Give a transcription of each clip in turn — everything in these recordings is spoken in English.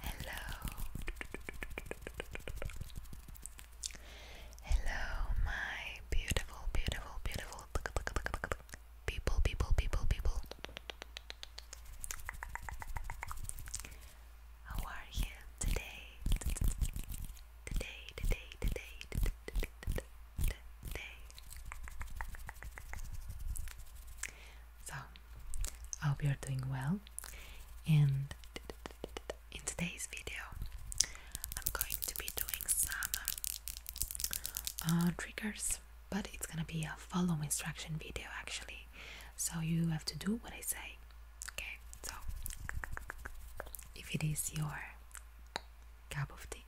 Hello. Hello, my beautiful, beautiful, beautiful people, people, people, people. How are you today? Today, today, today, today, so, I hope you're doing well, and in today's video, I'm going to be doing some uh, triggers, but it's gonna be a follow instruction video actually, so you have to do what I say. Okay, so if it is your cup of tea.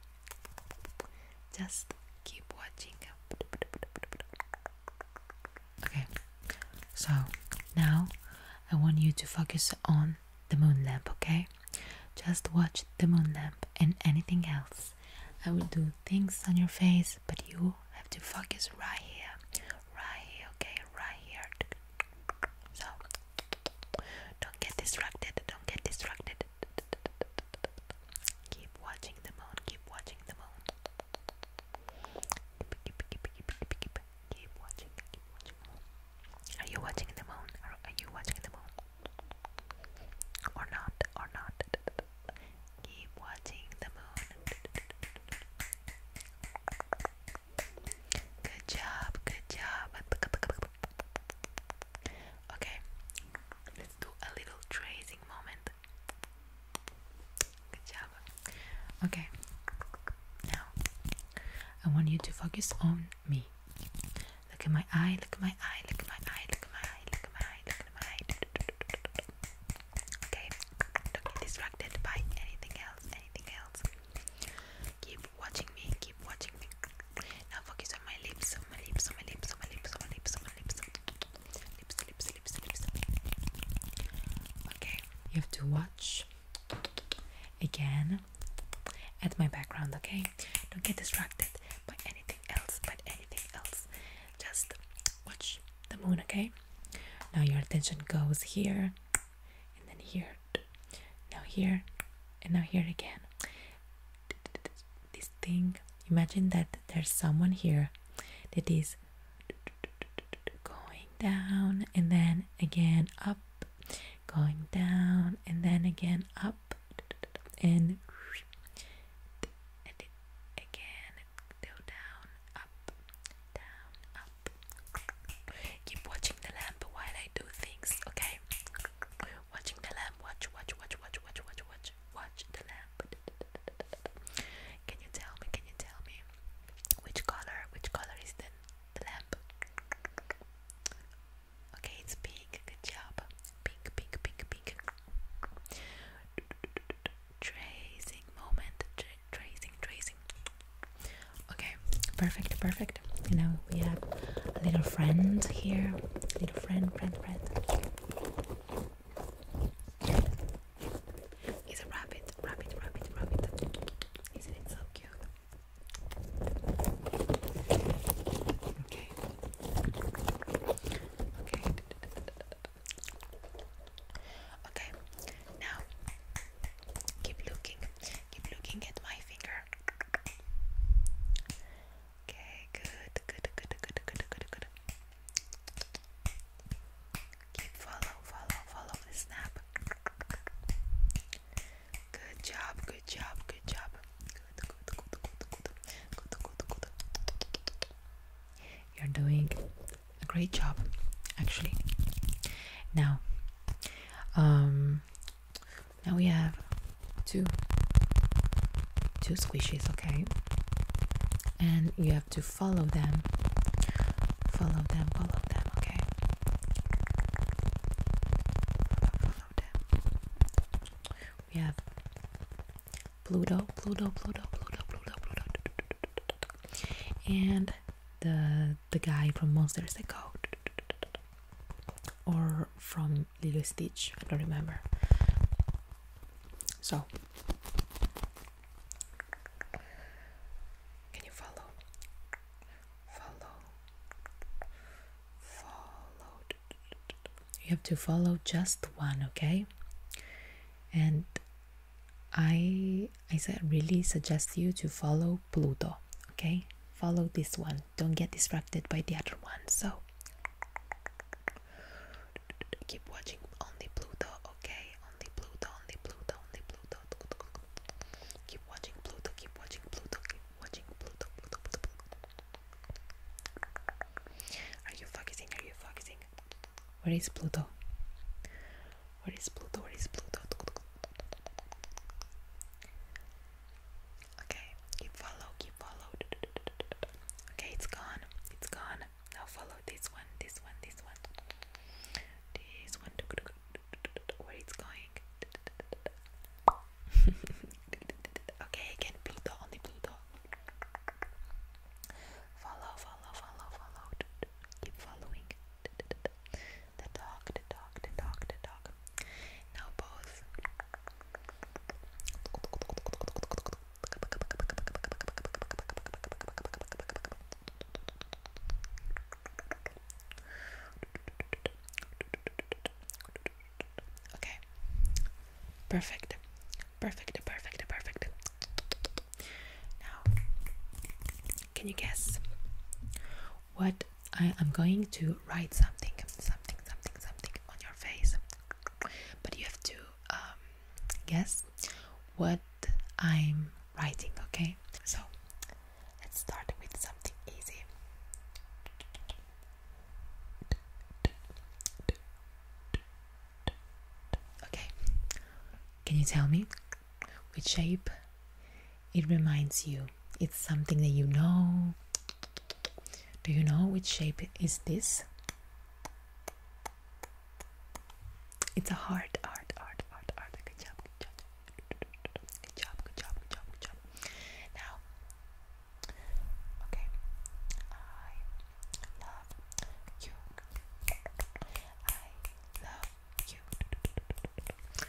Just keep watching. Okay, so now I want you to focus on the moon lamp, okay? Just watch the moon lamp and anything else. I will do things on your face, but you have to focus right here. Right here, okay? Right here. So, don't get distracted. Don't get distracted. Keep watching the moon, keep watching the moon. Are you watching the moon? Are you watching the moon? Or not, or not. Keep watching the moon. Good job, good job. Okay, let's do a little tracing moment. Good job. Okay, now I want you to focus on me. Look at my eye, look at my eye, look at my eye, look at my eye, look at my eye, look at my eye. Okay, don't get distracted by anything else, anything else. Keep watching me, keep watching me. Now focus on my lips, on my lips, on my lips, on my lips, on my lips, on my lips. Lips, lips, lips, lips. Okay. You have to watch again at my background, okay? Don't get distracted by anything else, but anything else. Just watch the moon, okay? Now your attention goes here and then here. Now here and now here again this thing. Imagine that there's someone here that is going down and then again up, going down and then again up, and again go down, up, down, up. Keep watching the lamp while I do things, okay? Watching the lamp, watch, watch, watch, watch, watch, watch, watch, watch the lamp. Can you tell me? Can you tell me which color? Which color is the, the lamp? Okay, it's pink. Good job. Pink, pink, pink, pink. Tracing moment. tracing, tracing. Okay, perfect, perfect. You know, we have a little friend here, little friend, friend, friend. It's a rabbit, rabbit, rabbit, rabbit. Isn't it so cute? Okay. Okay. Okay. Now keep looking. Keep looking at my finger. Okay, good, good, good, good, good, good, good. Keep follow, follow, follow snap. Good job, good job, good job. Good, good, good, good, good, good, good, good. You're doing a great job, actually. Now, now we have two two squishies, okay? And you have to follow them. Follow them, follow them, okay? Follow, them. We have Pluto, Pluto, Pluto, Pluto, Pluto, Pluto. And the the guy from Monsters Inc. or from Little Stitch. I don't remember. So, can you follow? Follow. Follow. You have to follow just one, okay? And I I really suggest you to follow Pluto, okay? Follow this one don't get distracted by the other one so keep watching only pluto okay only pluto only pluto only pluto keep watching pluto keep watching pluto keep watching pluto, pluto, pluto. are you focusing are you focusing where is pluto where is pluto where is pluto Okay, keep follow, keep follow. Okay, it's gone, it's gone. Now follow this one, this one, this one, this one. Where it's going? okay, again, Pluto, only Pluto. Follow, follow, follow, follow. Keep following. The dog, the dog, the dog, the dog. Now both. Okay. Perfect. Perfect, perfect, perfect. Now, can you guess what I am going to write something, something, something, something on your face, but you have to um, guess what I'm writing, okay? So let's start with something easy. Okay, can you tell me which shape it reminds you it's something that you know do you know which shape is this it's a heart art art art art good job good job good job good job now okay i love you i love you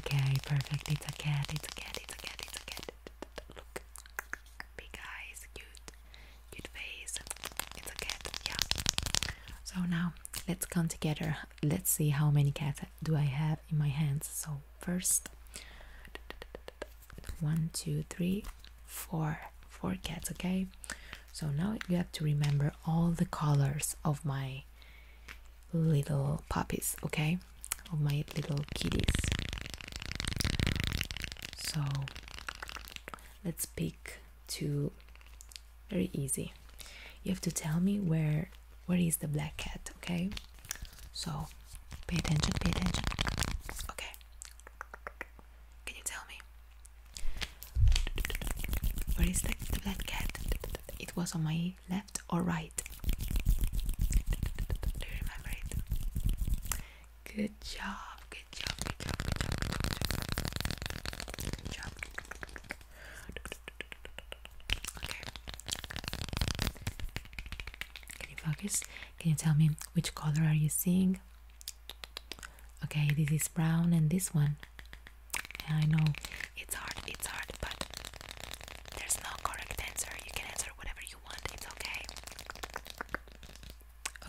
Okay, perfect. It's a cat. It's a cat. It's a cat. It's a cat. Look, big eyes, cute, cute face. It's a cat. Yeah. So now let's count together. Let's see how many cats do I have in my hands. So first, one, two, three, four, four cats. Okay. So now you have to remember all the colors of my little puppies, okay? or my little kitties. So let's pick two very easy. You have to tell me where where is the black cat, okay? So pay attention, pay attention. Okay. Can you tell me? Where is the, the black cat? It was on my left left or right? Do you remember it? Good job, good job, good job, good job, good job. Can you focus? Can you tell me which color are you seeing? Okay, this is brown and this one. And I know it's hard, it's hard, but there's no correct answer. You can answer whatever you want, it's okay.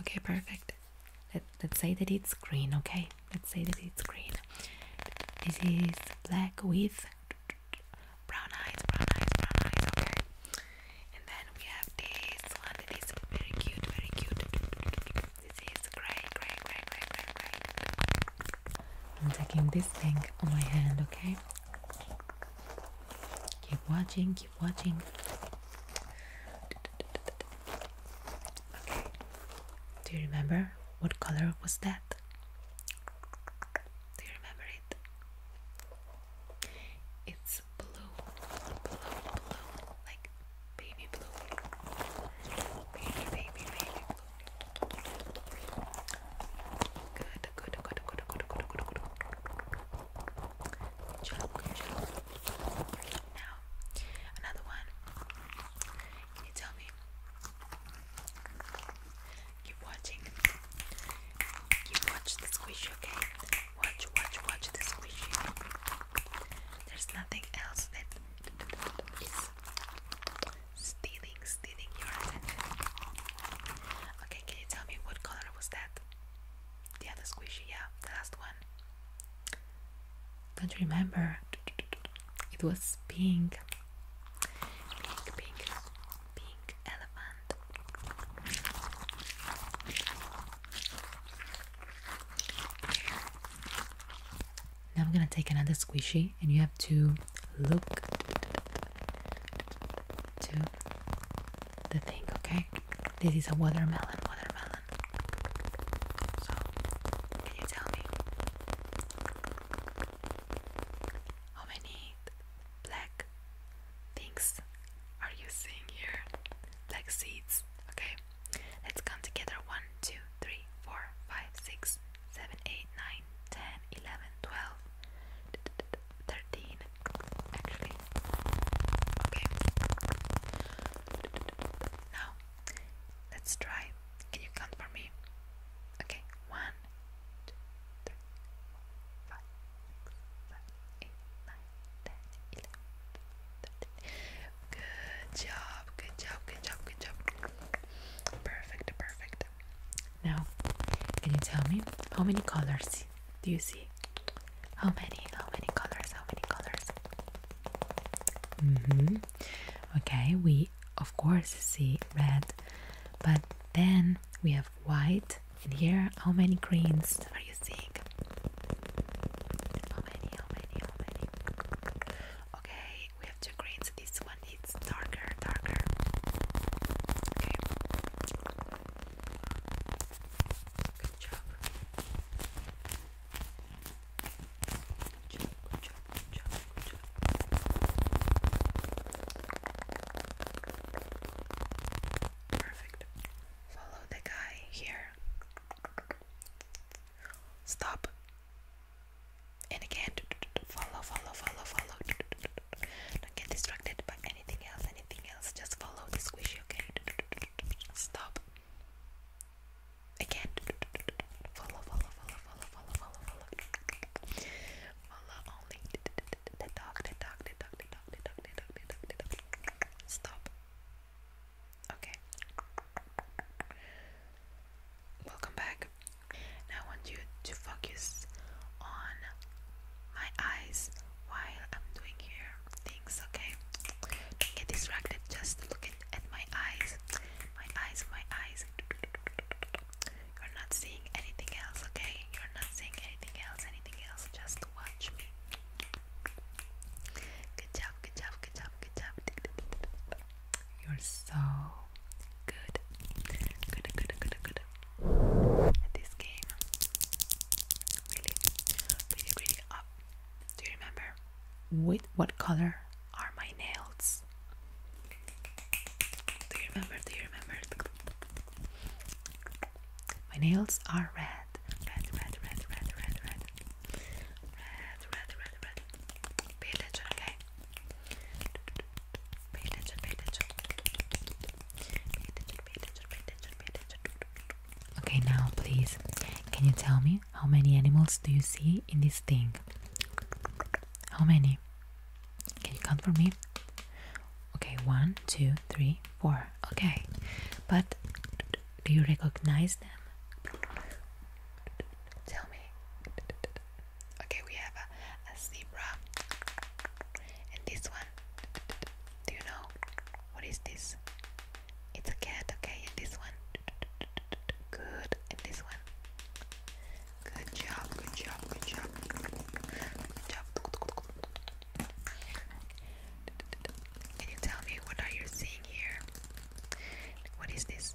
Okay, perfect. Let, let's say that it's green, okay? Let's say that it's green. This is black with brown eyes, brown eyes, brown eyes, okay? And then we have this one that is very cute, very cute. This is grey, grey, grey, grey, grey, grey. I'm taking this thing on my hand, okay? Keep watching, keep watching. Okay. Do you remember what color was that? Do you remember it? It's blue, blue, blue, like baby blue. Baby, baby, baby. Good, good, good, good, good, good, good, good. Shut up, shut up. Now, another one. Can you tell me? Keep watching. Keep watch the squishy, okay? Watch, watch, watch the squishy. There's nothing else that is stealing, stealing your attention. Okay, can you tell me what color was that? The other squishy, yeah, the last one. Don't remember. It was pink. Pink, pink, pink elephant. Now I'm gonna take another squishy, and you have to look to the thing, okay? This is a watermelon, watermelon. So, can you tell me how many black things are you seeing here? Black seeds, okay? Let's count together one, two, three, four, five, six. 7, actually. Okay. Now, let's try. Can you count for me? Okay, 1, Good job, good job, good job, good job. Perfect, perfect. Now, can you tell me how many colors do you see? How many? How many colors? How many colors? Mm-hmm. Okay, we of course see red, but then we have white, and here how many greens are you seeing? How many? How many? How many? Okay, we have two greens. This one it's darker, darker. Okay. Perfect. Follow the guy here. Stop. And again, follow, follow, follow, follow. Don't get distracted by anything else, anything else. Just follow the squishy, okay? Stop. Again, follow, follow, follow, follow, follow, follow, follow. Follow only the dog, the dog, the dog, the dog, the dog, the dog, the dog, the dog. Stop. Okay. Welcome back. I want you to focus on my eyes while I'm doing here things, okay? Don't get distracted, just look at, at my eyes. My eyes, my eyes. You're not seeing anything else, okay? You're not seeing anything else, anything else. Just watch me. Good job, good job, good job, good job. You're so good. Good, good, good, good. At this game. Really, really, really up. Do you remember? With what color are my nails? Do you remember? Do you remember? My nails are Red, red, red, red, red, red. Red, red, red, red, Okay, now please, can you tell me how many animals do you see in this thing? How many? Can you count for me? Okay, one, two, three, four. Okay, but do you recognize them? Tell me. Okay, we have a, zebra. And this one, do you know what is this? It's a cat, okay? And this one, good. And this one, good job, good job, good job, good job. Can you tell me what are you seeing here? What is this?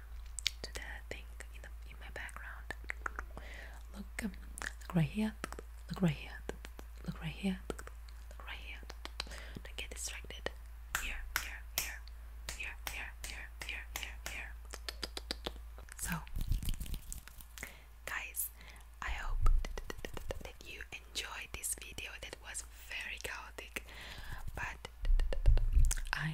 to the thing in, the, in my background. Look, um, look right here. Look right here. Look right here. right here. Don't get distracted. Here, here, here, here, here, here, here, here, So, guys, I hope that you enjoyed this video. That was very chaotic, but I